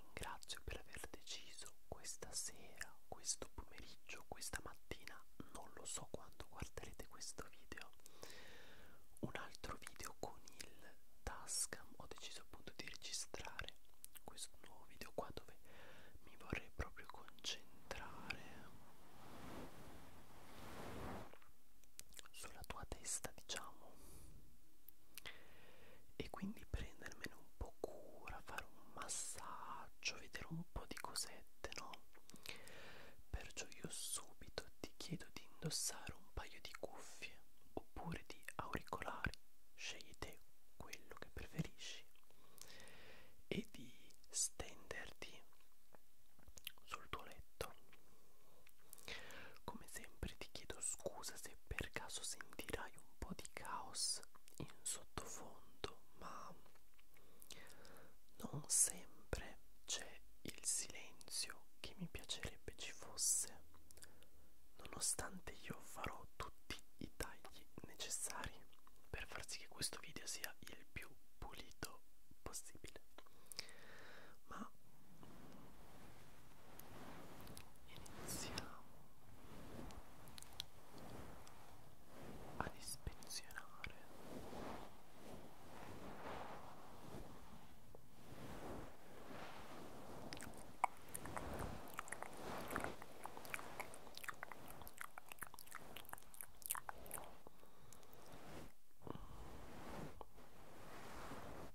ringrazio per aver deciso questa sera, questo pomeriggio, questa mattina, non lo so quando guarderete questo video, un altro video con il Tascam. Ho deciso appunto di registrare questo nuovo video qua dove mi vorrei proprio concentrare sulla tua testa vita diciamo e quindi prendermene un po' cura fare un massaggio vedere un po' di cosette no perciò io subito ti chiedo di indossare un paio di cuffie oppure di auricolari scegli te quello che preferisci e di stenderti sul tuo letto come sempre ti chiedo scusa se per caso sentirai un po' di caos in sottofondo, ma non sempre c'è il silenzio che mi piacerebbe ci fosse, nonostante io farò tutti i tagli necessari per far sì che questo video sia il più pulito possibile ma iniziamo ad ispezionare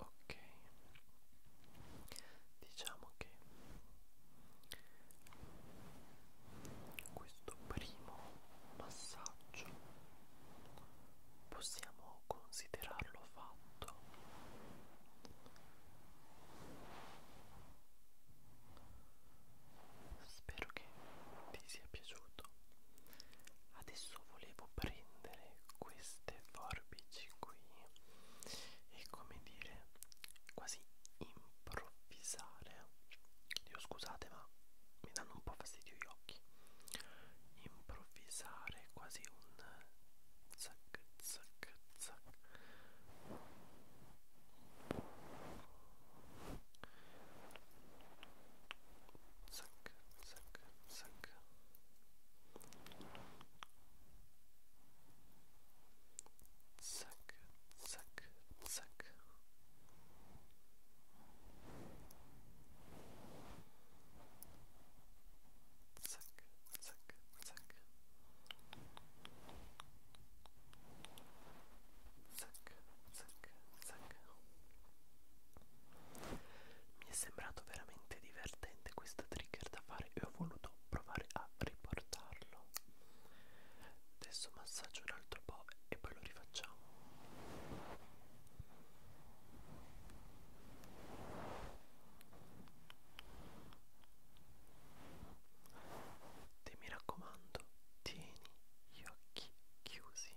Ok, diciamo che questo primo massaggio possiamo considerarlo fatto spero che ti sia piaciuto adesso volevo prendere queste forbici qui e come dire quasi improvvisare io scusate ma mi danno un po' fastidio gli occhi improvvisare quasi un zac zac zac zac zac zac zac zac zac zac zac, zac, zac zac, zac, zac mi è sembrato veramente divertente questo trigger da fare e ho voluto provare a riportarlo Adesso massaggio un altro po' e poi lo rifacciamo. Te mi raccomando, tieni gli occhi chiusi.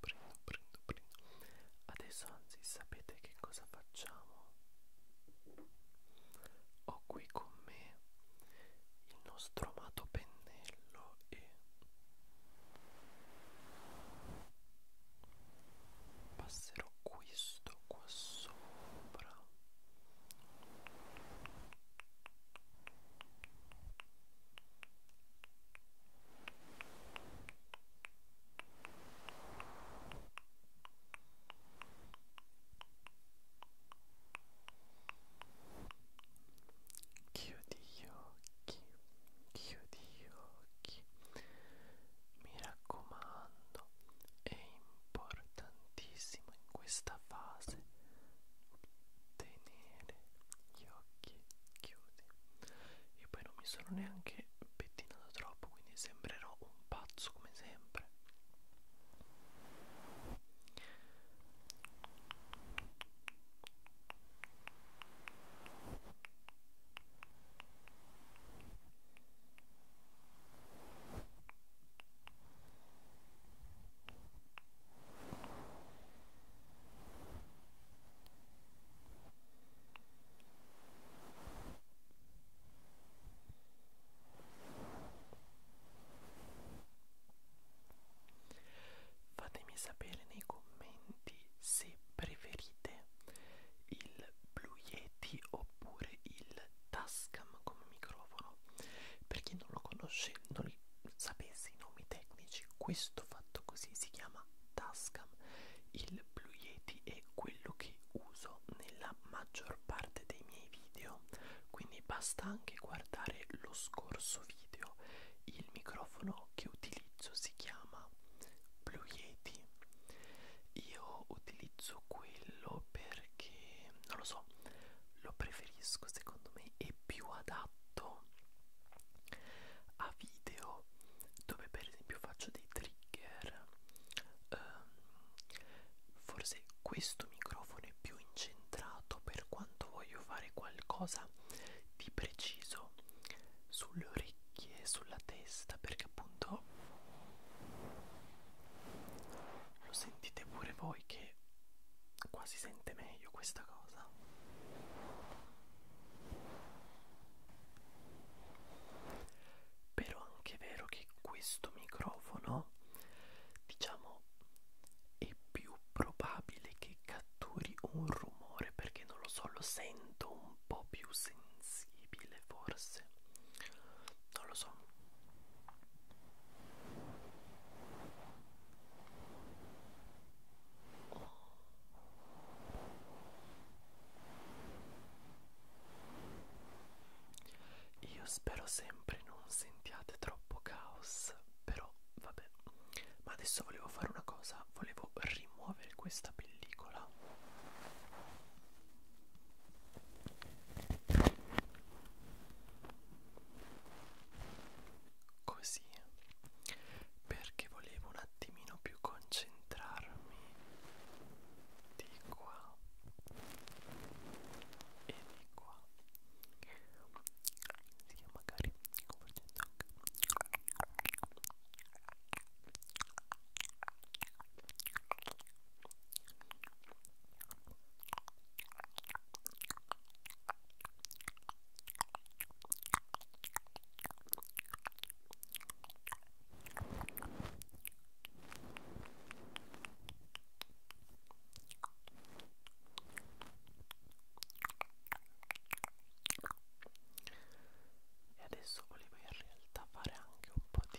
prendo, prendo, prendo, prendo. Adesso anzi sapete che cosa facciamo? Ho qui con me il nostro amato pennello e passerò questo qua sopra Chiudi gli occhi, chiudi gli occhi. Mi raccomando, è importantissimo in questa fase tenere gli occhi occhi chiusi e poi non mi sono neanche pettinato troppo quindi sembrerò un pazzo come sempre Fatemi sapere nei commenti se preferite il Blue Yeti oppure il Tascam come microfono. Per chi non lo conosce, non sapesse i nomi tecnici, questo fatto così si chiama Tascam Vietnam. Il Blue Yeti è quello che uso nella maggior parte dei miei video, quindi basta anche guardare lo scorso video. Il microfono che utilizzo si chiama Blue Yeti. Io utilizzo quello perché non lo so, lo preferisco, secondo me è più adatto fatto a video dove per esempio faccio dei trigger um, forse questo microfono è più incentrato per quanto voglio fare qualcosa di preciso sulle orecchie sulla testa perché appunto lo sentite pure voi che qua si sente meglio questa cosa però è anche vero che questo microfono diciamo è più probabile che catturi un rumore perché non lo so lo sento un po' più sensibile forse non lo so io spero sempre non sentiate troppo caos, però vabbè. Ma adesso volevo fare una cosa, volevo rimuovere questa pellicola così perché volevo un attimino più concentrarmi di qua e di qua sì, magari e adesso volevo in realtà fare anche un po' di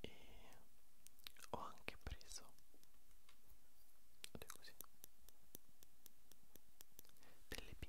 e ho anche preso così delle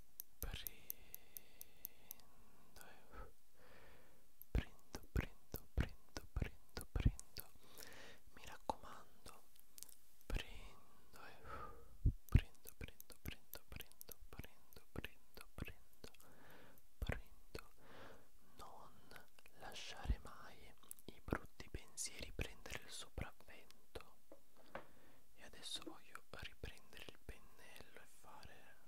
prendo, prendo, prendo, prendo, prendo, mi raccomando, prendo, eh. prendo, prendo, prendo, prendo, prendo, prendo, prendo, prendo, non lasciare mai i brutti pensieri prendere il sopravvento. E adesso voglio riprendere il pennello e fare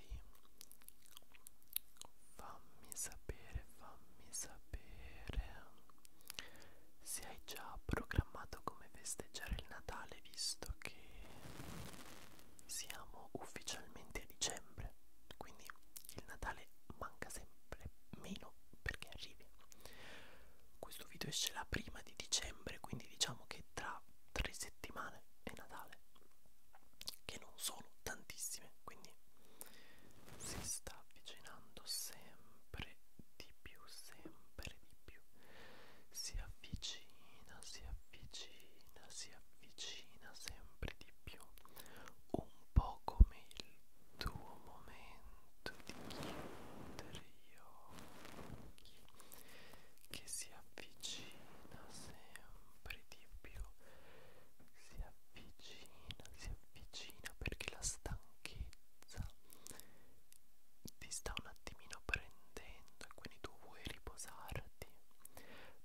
poi fammi sapere, fammi sapere se hai già programmato come festeggiare il Natale visto che siamo ufficialmente a dicembre, quindi il Natale manca sempre meno perché arrivi. Questo video esce la prima di dicembre, quindi diciamo che tra tre settimane è Natale che non sono tantissime quindi si sta avvicinando sempre di più sempre di più si avvicina si avvicina si avvicina sempre di più un po' come il tuo momento di chiudere gli occhi che si avvicina sempre di più si avvicina avvicina, si avvicina perché la stanchezza ti sta un attimino prendendo e quindi tu vuoi riposarti.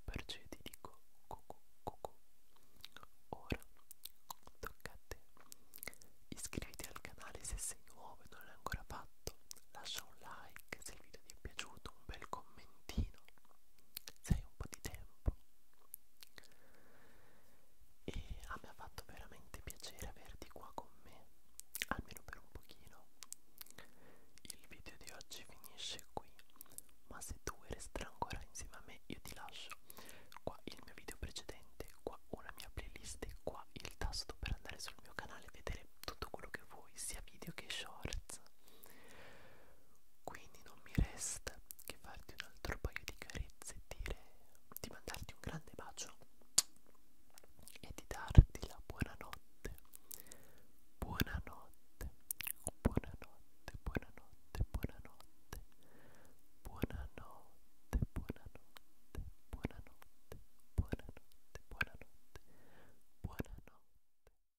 Perciò ti dico cucù, cucù. Ora tocca a te. Iscriviti al canale se sei nuovo e non l'hai ancora fatto. Lascia un like se il video ti è piaciuto, un bel commentino sei un po' di tempo e a me ha fatto veramente piacere averti qua con me almeno per un pochino il video di oggi finisce qui ma se tu vuoi restare ancora insieme a me io ti lascio qua il mio video precedente qua una mia playlist e qua il tasto per andare sul mio canale e vedere tutto quello che vuoi sia video che shorts quindi non mi resta che farti un altro paio di carezze e dire di mandarti un grande bacio e di darti la buonanotte. Buonanotte, buonanotte, buonanotte, buonanotte, buonanotte, buonanotte, buonanotte, buonanotte, buonanotte, buonanotte.